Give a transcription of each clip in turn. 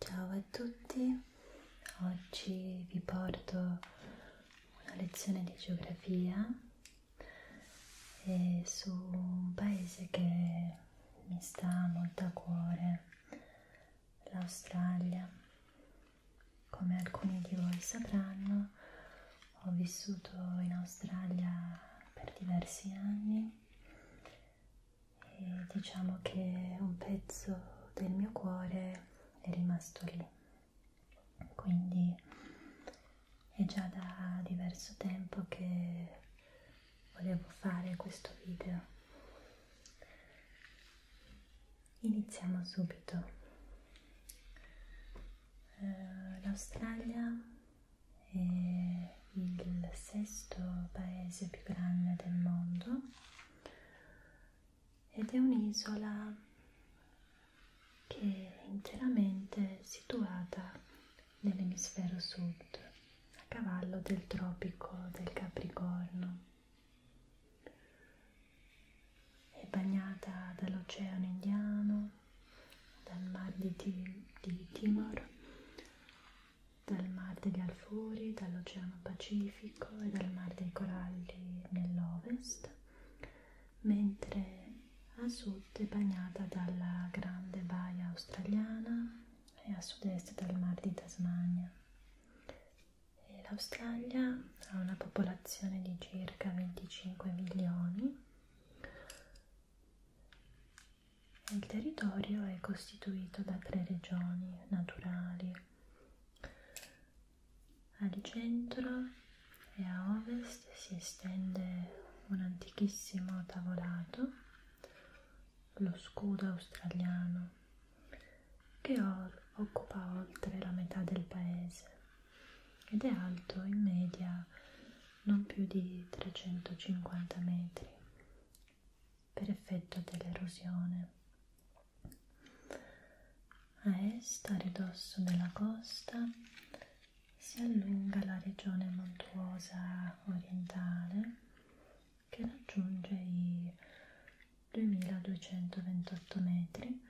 Ciao a tutti, oggi vi porto una lezione di geografia eh, su un paese che mi sta molto a cuore, l'Australia. Come alcuni di voi sapranno, ho vissuto in Australia per diversi anni e diciamo che un pezzo del mio cuore è rimasto lì, quindi è già da diverso tempo che volevo fare questo video. Iniziamo subito. Uh, L'Australia è il sesto paese più grande del mondo ed è un'isola che è interamente situata nell'emisfero sud, a cavallo del tropico del Capricorno. È bagnata dall'Oceano Indiano, dal Mar di, Ti di Timor dal Mar degli Alfori, dall'Oceano Pacifico e dal Mar dei Coralli nell'ovest, mentre a sud è bagnata dalla grande baia australiana e a sud-est dal Mar di Tasmania. L'Australia ha una popolazione di circa 25 milioni il territorio è costituito da tre regioni naturali. Al centro e a ovest si estende un antichissimo tavolato, lo scudo australiano, che occupa oltre la metà del paese ed è alto in media non più di 350 metri per effetto dell'erosione. A est, a ridosso della costa, si allunga la regione montuosa orientale che raggiunge i 2228 metri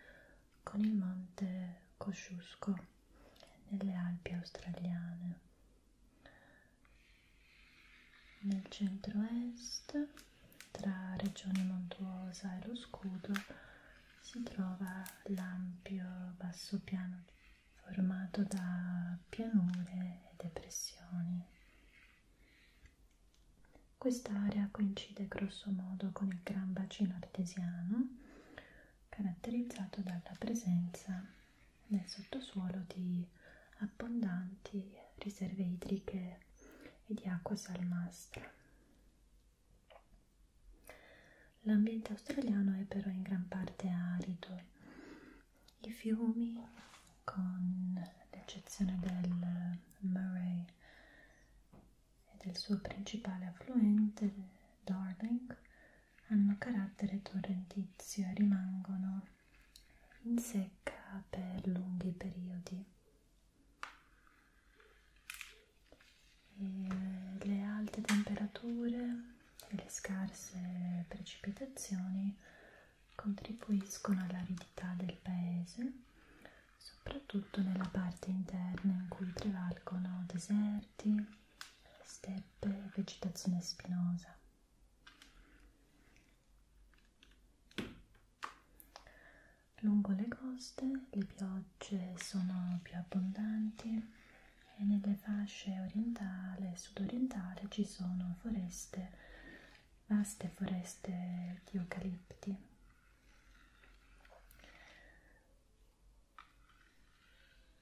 con il monte Kosciusko nelle Alpi australiane nel centro-est, tra Regione Montuosa e lo Scudo, si trova l'ampio bassopiano formato da pianure e depressioni. Quest'area coincide grossomodo con il Gran Bacino Artesiano, caratterizzato dalla presenza nel sottosuolo di abbondanti riserve idriche e di acqua salmastra. L'ambiente australiano è però in gran parte arido. I fiumi, con l'eccezione del Murray e del suo principale affluente, Darling, hanno carattere torrentizio e rimangono in secca per lunghi periodi e le alte temperature e le scarse precipitazioni contribuiscono all'aridità del paese soprattutto nella parte interna in cui prevalgono deserti, steppe e vegetazione spinosa. Lungo le coste le piogge sono più abbondanti e nelle fasce orientale e sudorientale ci sono foreste, vaste foreste di eucalipti.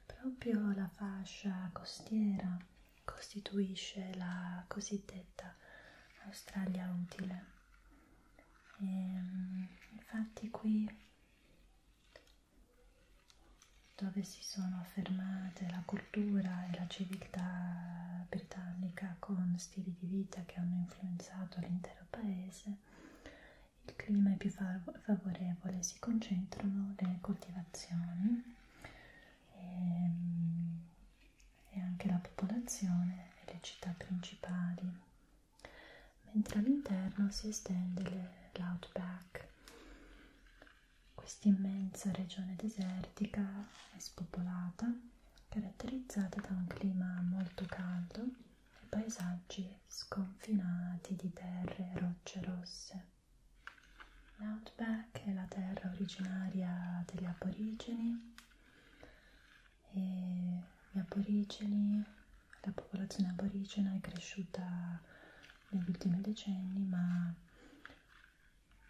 Proprio la fascia costiera costituisce la cosiddetta Australia utile. E, ehm, infatti qui dove si sono affermate la cultura e la civiltà britannica con stili di vita che hanno influenzato l'intero paese, il clima è più fav favorevole, si concentrano le coltivazioni e, ehm, e anche la popolazione e le città principali, mentre all'interno si estende l'outback, questa immensa regione desertica e spopolata caratterizzata da un clima molto caldo e paesaggi sconfinati di terre e rocce rosse. L'Outback è la terra originaria degli aborigeni e gli aborigeni, la popolazione aborigena è cresciuta negli ultimi decenni, ma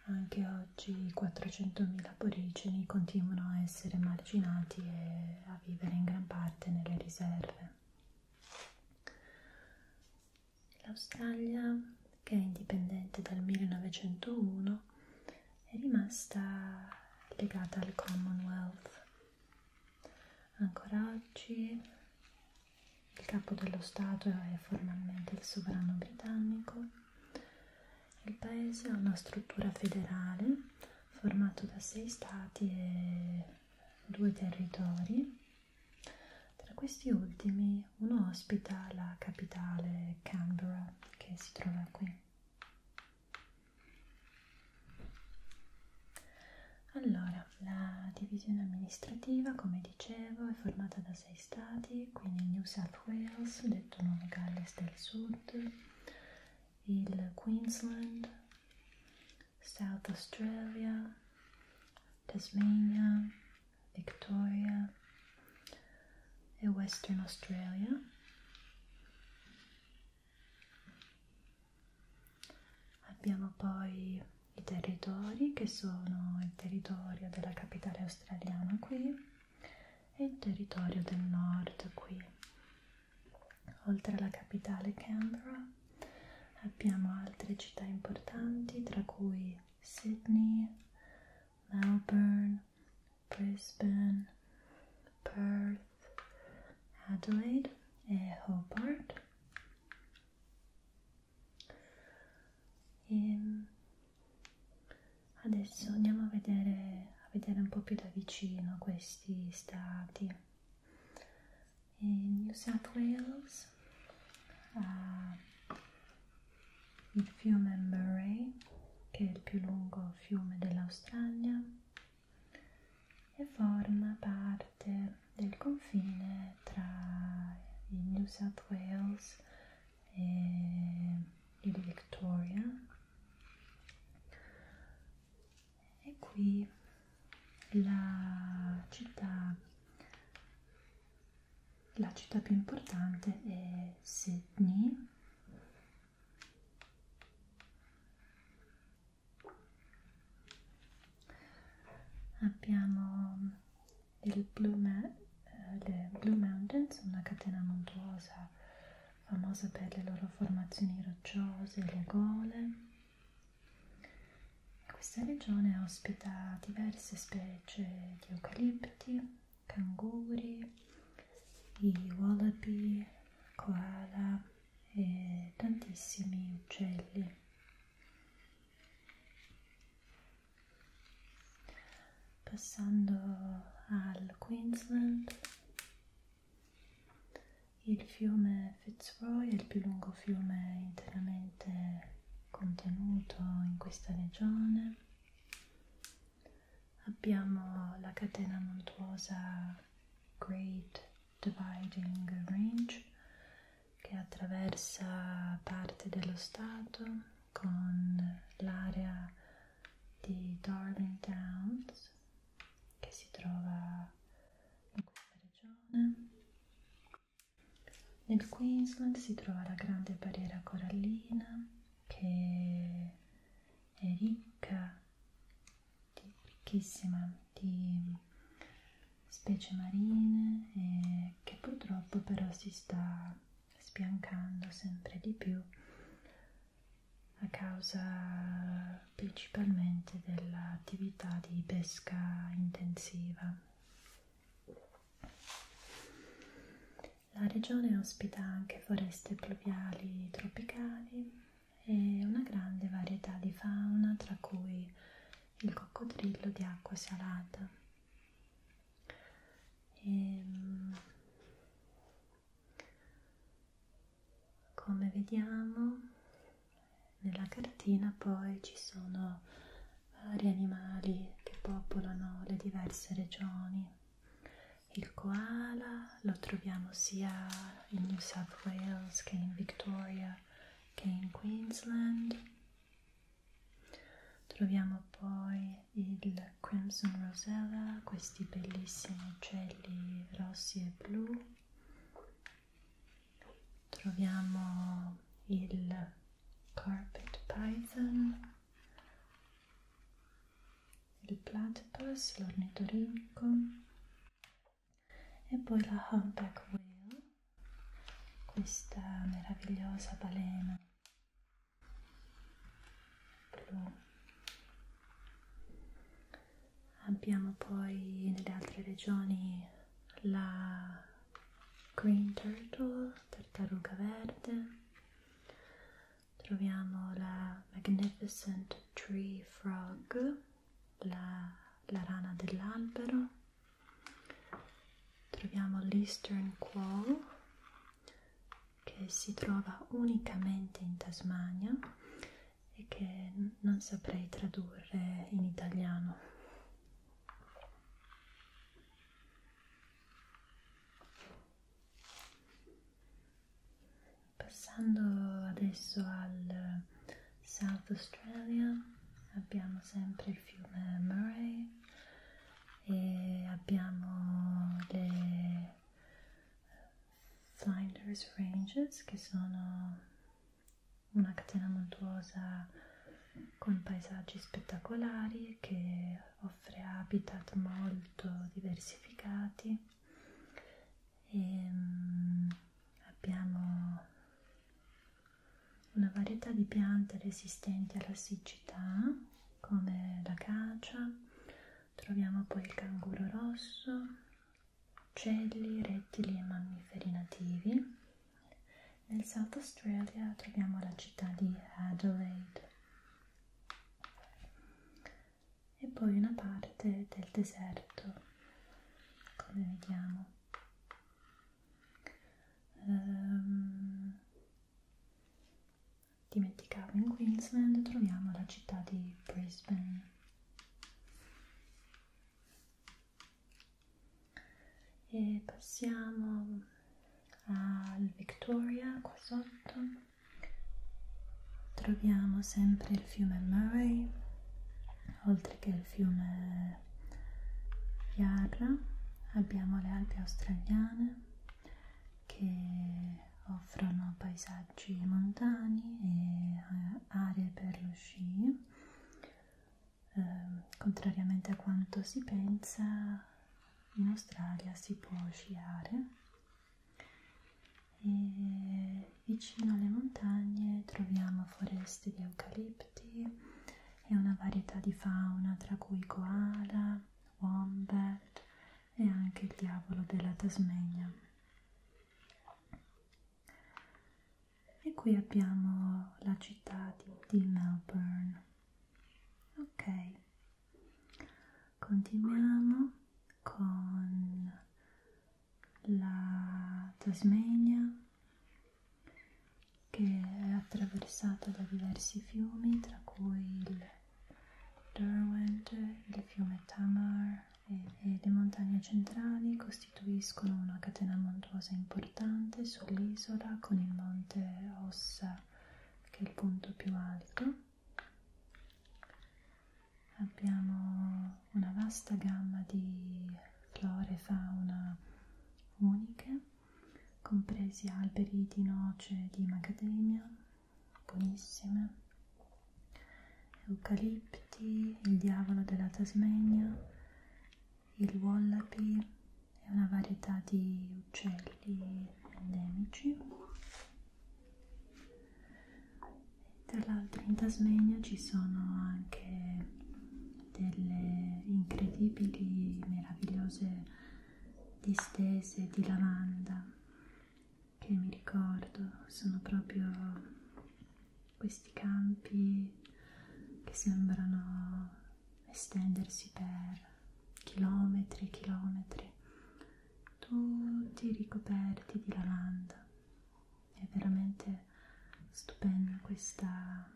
anche oggi 400.000 aborigeni continuano a essere marginati e a vivere in gran parte nelle riserve. L'Australia, che è indipendente dal 1901, è rimasta legata al Commonwealth. Ancora oggi il capo dello Stato è formalmente il sovrano britannico. Il paese ha una struttura federale formato da sei stati e due territori tra questi ultimi uno ospita la capitale Canberra che si trova qui. Allora, la divisione amministrativa, come dicevo, è formata da sei stati, quindi New South Wales, detto Nuova Galles del Sud, il Queensland, South Australia, Tasmania, Victoria e Western Australia. Abbiamo poi i territori che sono il territorio della capitale australiana qui e il territorio del nord qui, oltre alla capitale Canberra abbiamo altre città importanti tra cui Sydney, Melbourne, Brisbane, Perth, Adelaide e Hobart e adesso andiamo a vedere, a vedere un po' più da vicino questi stati in New South Wales, uh, il fiume Murray, che è il più lungo fiume dell'Australia, e forma parte del confine tra il New South Wales e il Victoria. E qui la città, la città più importante è Sydney abbiamo il Blue Man, eh, le Blue Mountains una catena montuosa famosa per le loro formazioni rocciose e le gole questa regione ospita diverse specie di eucalipti, canguri, i wallaby, koala e tantissimi uccelli. Passando al Queensland, il fiume Fitzroy è il più lungo fiume interamente contenuto in questa regione. Abbiamo la catena montuosa Great Dividing Range che attraversa parte dello Stato con l'area di Darling Downs che si trova in questa regione nel Queensland si trova la grande barriera corallina che è ricca, di, ricchissima di specie marine e che purtroppo però si sta spiancando sempre di più a causa principalmente ovviamente dell'attività di pesca intensiva. La regione ospita anche foreste pluviali tropicali e una grande varietà di fauna, tra cui il coccodrillo di acqua salata. E, ehm, come vediamo nella cartina poi ci sono vari eh, animali che popolano le diverse regioni. Il koala lo troviamo sia in New South Wales che in Victoria che in Queensland. Troviamo poi il Crimson Rosella, questi bellissimi uccelli rossi e blu troviamo il carpet python, il platypus, l'ornitorinco e poi la humpback whale, questa meravigliosa balena blu abbiamo poi nelle altre regioni la green turtle, tartaruga verde, troviamo la magnificent tree frog, la, la rana dell'albero, troviamo l'eastern quoll che si trova unicamente in Tasmania e che non saprei tradurre in italiano. Passando adesso al South Australia abbiamo sempre il fiume Murray e abbiamo le Flinders Ranges che sono una catena montuosa con paesaggi spettacolari che offre habitat molto diversificati e ehm, abbiamo una varietà di piante resistenti alla siccità come la cacia troviamo poi il canguro rosso uccelli, rettili e mammiferi nativi. Nel South Australia troviamo la città di Adelaide e poi una parte del deserto, come vediamo. Um, dimenticavo, in Queensland troviamo la città di Brisbane e passiamo al Victoria qua sotto troviamo sempre il fiume Murray oltre che il fiume Yarra abbiamo le Alpi australiane che offrono paesaggi montani e eh, aree per lo sci eh, contrariamente a quanto si pensa in Australia si può sciare e vicino alle montagne troviamo foreste di eucalipti e una varietà di fauna tra cui koala, wombat e anche il diavolo della Tasmania e qui abbiamo la città di, di Melbourne ok continuiamo con la Tasmania che è attraversata da diversi fiumi tra cui il Derwent, il fiume Tamar e le montagne centrali costituiscono una catena montuosa importante sull'isola con il monte Ossa che è il punto più alto. Abbiamo una vasta gamma di flora e fauna uniche, compresi alberi di noce e di macadamia, buonissime, eucalipti, il diavolo della Tasmania, il wallaby e una varietà di uccelli endemici. Tra l'altro in Tasmania ci sono anche delle incredibili, meravigliose distese di lavanda che mi ricordo sono proprio questi campi che sembrano estendersi per chilometri e chilometri, tutti ricoperti di lavanda. È veramente stupenda questa,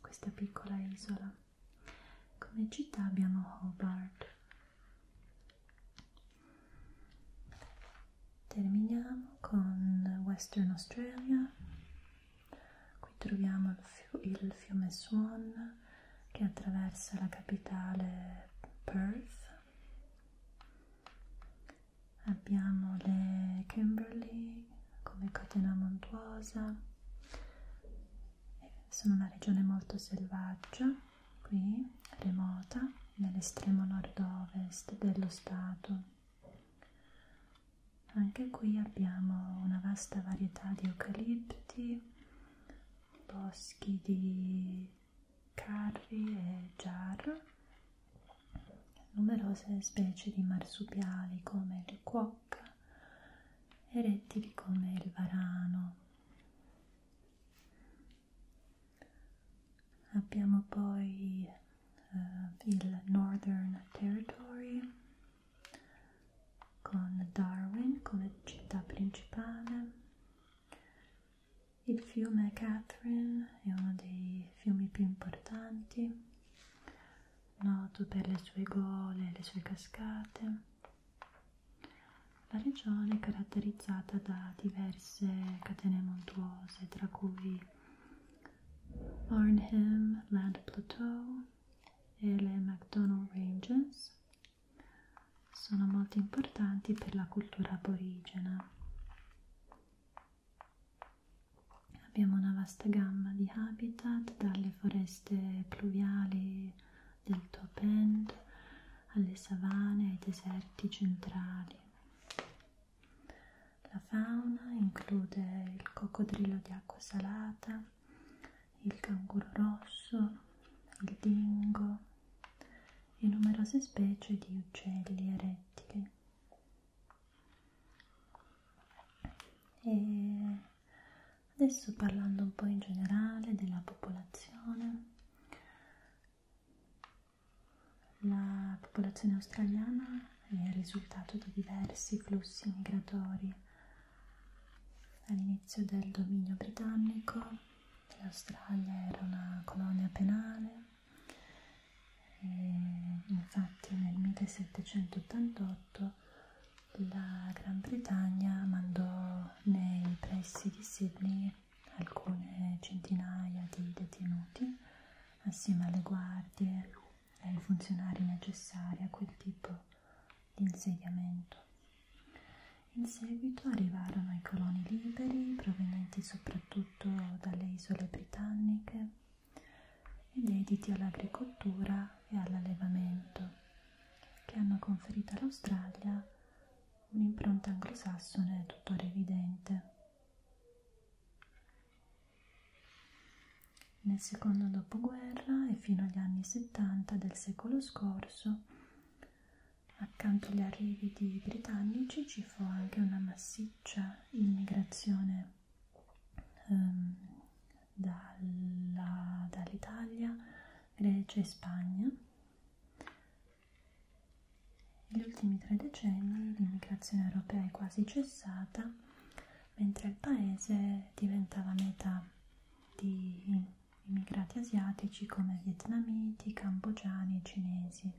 questa piccola isola. Come città abbiamo Hobart, terminiamo con Western Australia qui troviamo il, fiu il fiume Swan che attraversa la capitale Perth abbiamo le Kimberley come catena montuosa sono una regione molto selvaggia qui remota nell'estremo nord-ovest dello Stato. Anche qui abbiamo una vasta varietà di eucalipti, boschi di carri e jar, numerose specie di marsupiali come il cuoca e rettili come il varano. Abbiamo poi uh, il Northern Territory con Darwin come città principale. Il fiume Catherine è uno dei fiumi più importanti, noto per le sue gole e le sue cascate. La regione è caratterizzata da diverse catene montuose cose, tra cui Arnhem Land Plateau e le McDonald Ranges sono molto importanti per la cultura aborigena. Abbiamo una vasta gamma di habitat, dalle foreste pluviali del Top End alle savane ai deserti centrali. La fauna include il coccodrillo di acqua salata, il canguro rosso, il dingo e numerose specie di uccelli e rettili. E adesso parlando un po' in generale della popolazione, la popolazione australiana è il risultato di diversi flussi migratori. All'inizio del dominio britannico l'Australia era una colonia penale e infatti nel 1788 la Gran Bretagna mandò nei pressi di Sydney alcune centinaia di detenuti assieme alle guardie e ai funzionari necessari a quel tipo di insediamento. In seguito arrivarono i coloni liberi provenienti soprattutto dalle isole britanniche ed dediti all'agricoltura e all'allevamento che hanno conferito all'Australia un'impronta anglosassone tuttora evidente. Nel secondo dopoguerra e fino agli anni 70 del secolo scorso, accanto agli arrivi di britannici ci fu anche una massiccia immigrazione ehm, dall'Italia, dall Grecia e Spagna negli ultimi tre decenni l'immigrazione europea è quasi cessata, mentre il paese diventava meta di immigrati asiatici come vietnamiti, cambogiani e cinesi.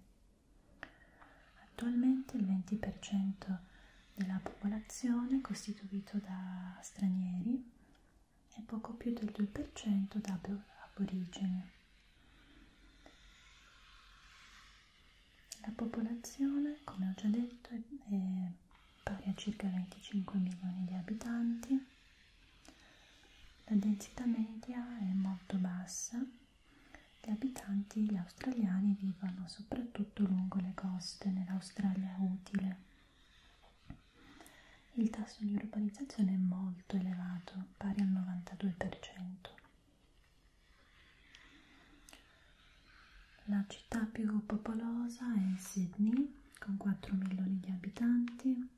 Attualmente il 20% della popolazione è costituito da stranieri e poco più del 2% da aborigeni. La popolazione, come ho già detto, è, è pari a circa 25 milioni di abitanti. La densità media è molto bassa. Gli abitanti gli australiani vivono soprattutto lungo le coste nell'Australia utile. Il tasso di urbanizzazione è molto elevato, basso pari al 92%. La città più popolosa è Sydney, con 4 milioni di abitanti,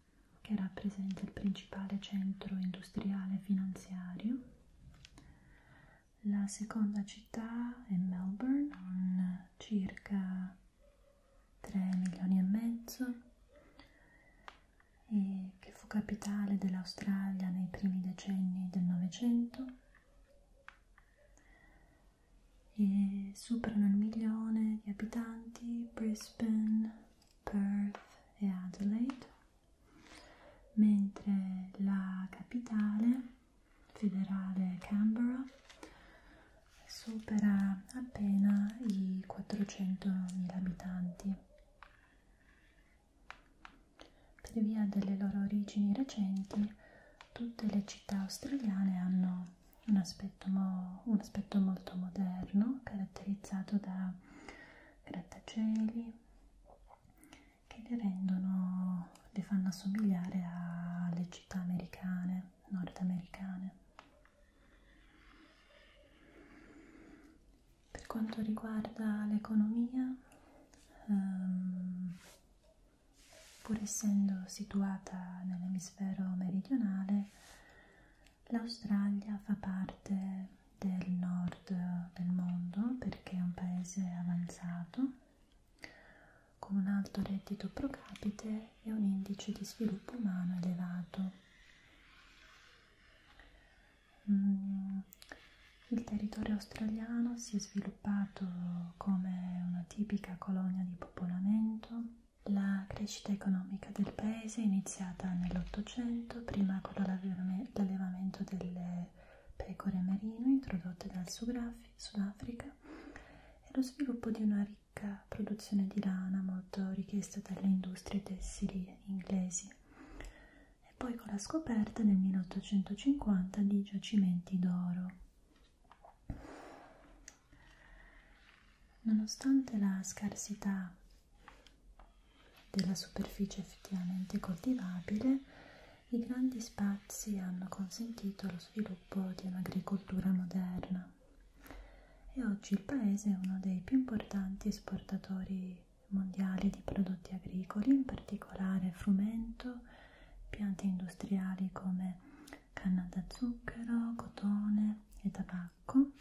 che rappresenta il principale centro industriale e finanziario. La seconda città è Melbourne, con circa 3 milioni e mezzo eh, che fu capitale dell'Australia nei primi decenni del Novecento e superano il milione di abitanti Brisbane, Perth e Adelaide, mentre la capitale federale Canberra supera appena i 400.000 abitanti per via delle loro origini recenti, tutte le città australiane hanno un aspetto, mo un aspetto molto moderno, caratterizzato da grattacieli che le rendono, le fanno assomigliare alle città americane, nordamericane. Per quanto riguarda l'economia, ehm, pur essendo situata nell'emisfero meridionale, l'Australia fa parte del nord del mondo perché è un paese avanzato con un alto reddito pro capite e un indice di sviluppo umano elevato. Mm. Il territorio australiano si è sviluppato come una tipica colonia di popolamento. La crescita economica del paese è iniziata nell'Ottocento, prima con l'allevamento delle pecore merino introdotte dal Sudafrica e lo sviluppo di una ricca la produzione di lana molto richiesta dalle industrie tessili inglesi e poi con la scoperta nel 1850 di giacimenti d'oro. Nonostante la scarsità della superficie effettivamente coltivabile, i grandi spazi hanno consentito lo sviluppo di un'agricoltura moderna e oggi il paese è uno dei più importanti esportatori mondiali di prodotti agricoli, in particolare frumento, piante industriali come canna da zucchero, cotone e tabacco.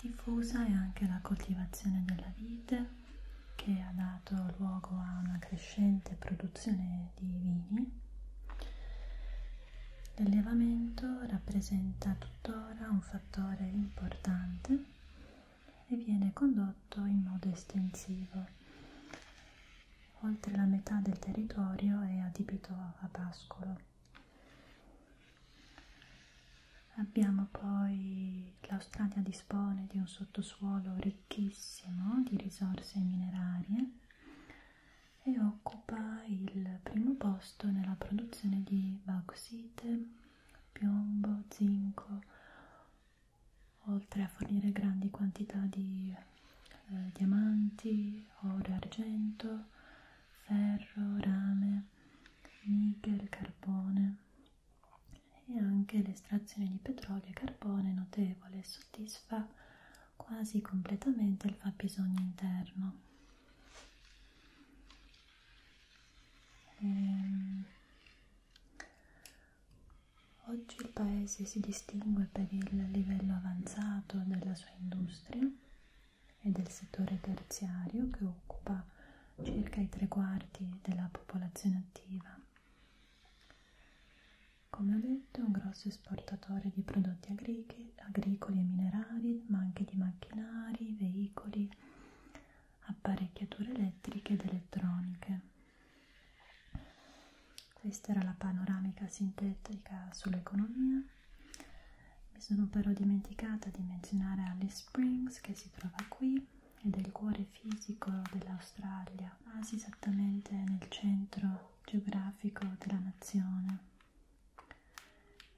Diffusa è anche la coltivazione della vite che ha dato luogo a una crescente produzione di vini L'allevamento rappresenta tuttora un fattore importante e viene condotto in modo estensivo. Oltre la metà del territorio è adibito a pascolo. Abbiamo poi l'Australia dispone di un sottosuolo ricchissimo di risorse minerarie e occupa il primo posto nella produzione di bauxite, piombo, zinco, oltre a fornire grandi quantità di eh, diamanti, oro e argento, ferro, rame, nichel, carbone e anche l'estrazione di petrolio e carbone è notevole e soddisfa quasi completamente il fabbisogno interno. Ehm, oggi il paese si distingue per il livello avanzato della sua industria e del settore terziario che occupa circa i tre quarti della popolazione attiva. Come ho detto è un grosso esportatore di prodotti agric agricoli e minerari, ma anche di macchinari, veicoli, apparecchiature elettriche ed elettroniche. Questa era la panoramica sintetica sull'economia. Mi sono però dimenticata di menzionare Alice Springs che si trova qui ed è il cuore fisico dell'Australia, quasi esattamente nel centro geografico della nazione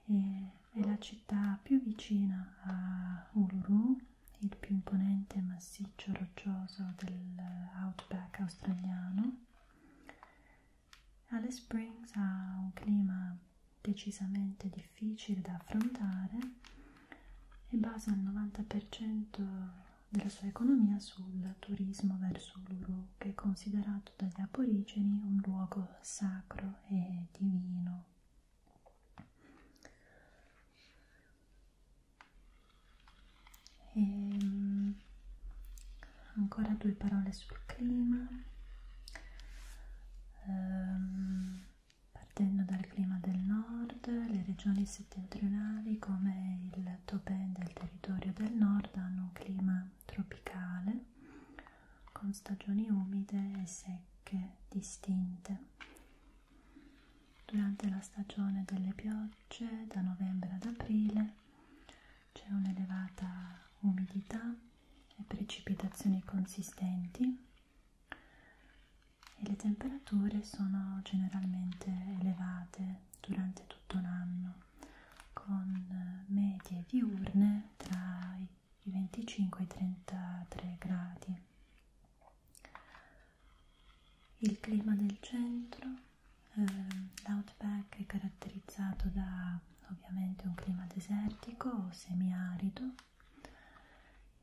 e è la città più vicina a Uluru, il più imponente massiccio roccioso dell'outback australiano. Alice Springs ha un clima decisamente difficile da affrontare e basa il 90% della sua economia sul turismo verso Uluru che è considerato dagli aborigeni un luogo sacro e divino. E, ehm, ancora due parole sul clima, ehm, partendo dal clima del nord, le regioni settentrionali come il Topè del territorio del nord hanno un clima tropicale con stagioni umide e secche distinte. Durante la stagione delle piogge, da novembre ad aprile, c'è un'elevata umidità e precipitazioni consistenti e le temperature sono generalmente elevate durante tutto l'anno con medie diurne tra i 25 e i 33 gradi. Il clima del centro, eh, l'outback è caratterizzato da ovviamente un clima desertico o semiarido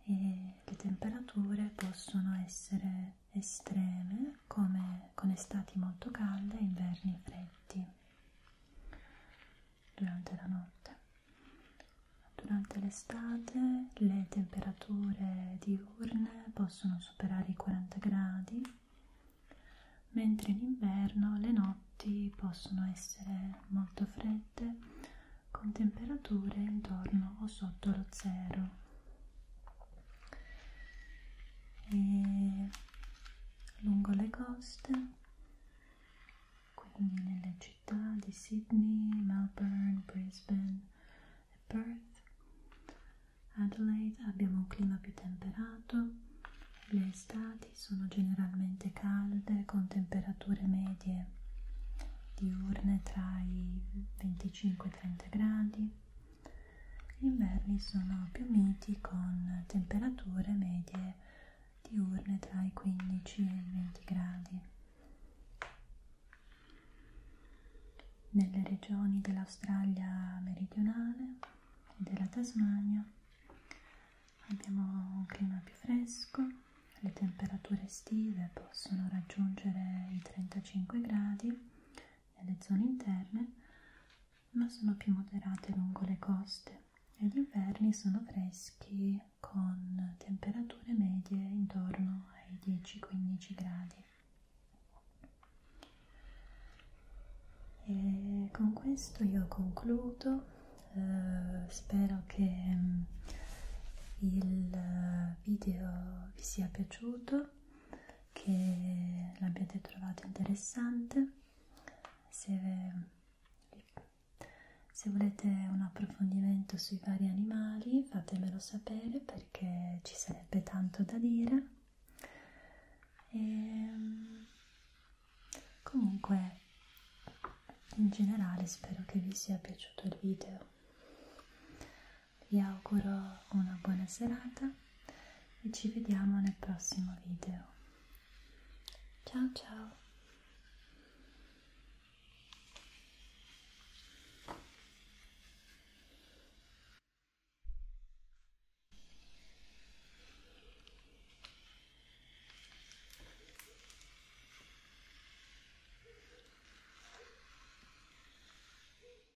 e le temperature possono essere estreme come con estati molto calde e inverni freddi durante la notte. Durante l'estate le temperature diurne possono superare i 40 gradi, mentre in inverno le notti possono essere molto fredde con temperature intorno o sotto lo zero e lungo le coste quindi nelle città di Sydney, Melbourne, Brisbane e Perth Adelaide abbiamo un clima più temperato le estati sono generalmente calde con temperature medie diurne tra i 25 e 30 gradi gli inverni sono più miti con temperature medie diurne tra i 15 e i 20 gradi. Nelle regioni dell'Australia meridionale e della Tasmania abbiamo un clima più fresco, le temperature estive possono raggiungere i 35 gradi nelle zone interne, ma sono più moderate lungo le coste e gli inverni sono freschi con temperature medie intorno ai 10-15 gradi. E con questo io concludo, eh, spero che mm, il eh, video vi sia piaciuto che l'abbiate trovato interessante se, se volete un approfondimento sui vari animali fatemelo sapere perché ci sarebbe tanto da dire e, ehm, comunque in generale spero che vi sia piaciuto il video vi auguro una buona serata e ci vediamo nel prossimo video. Ciao ciao!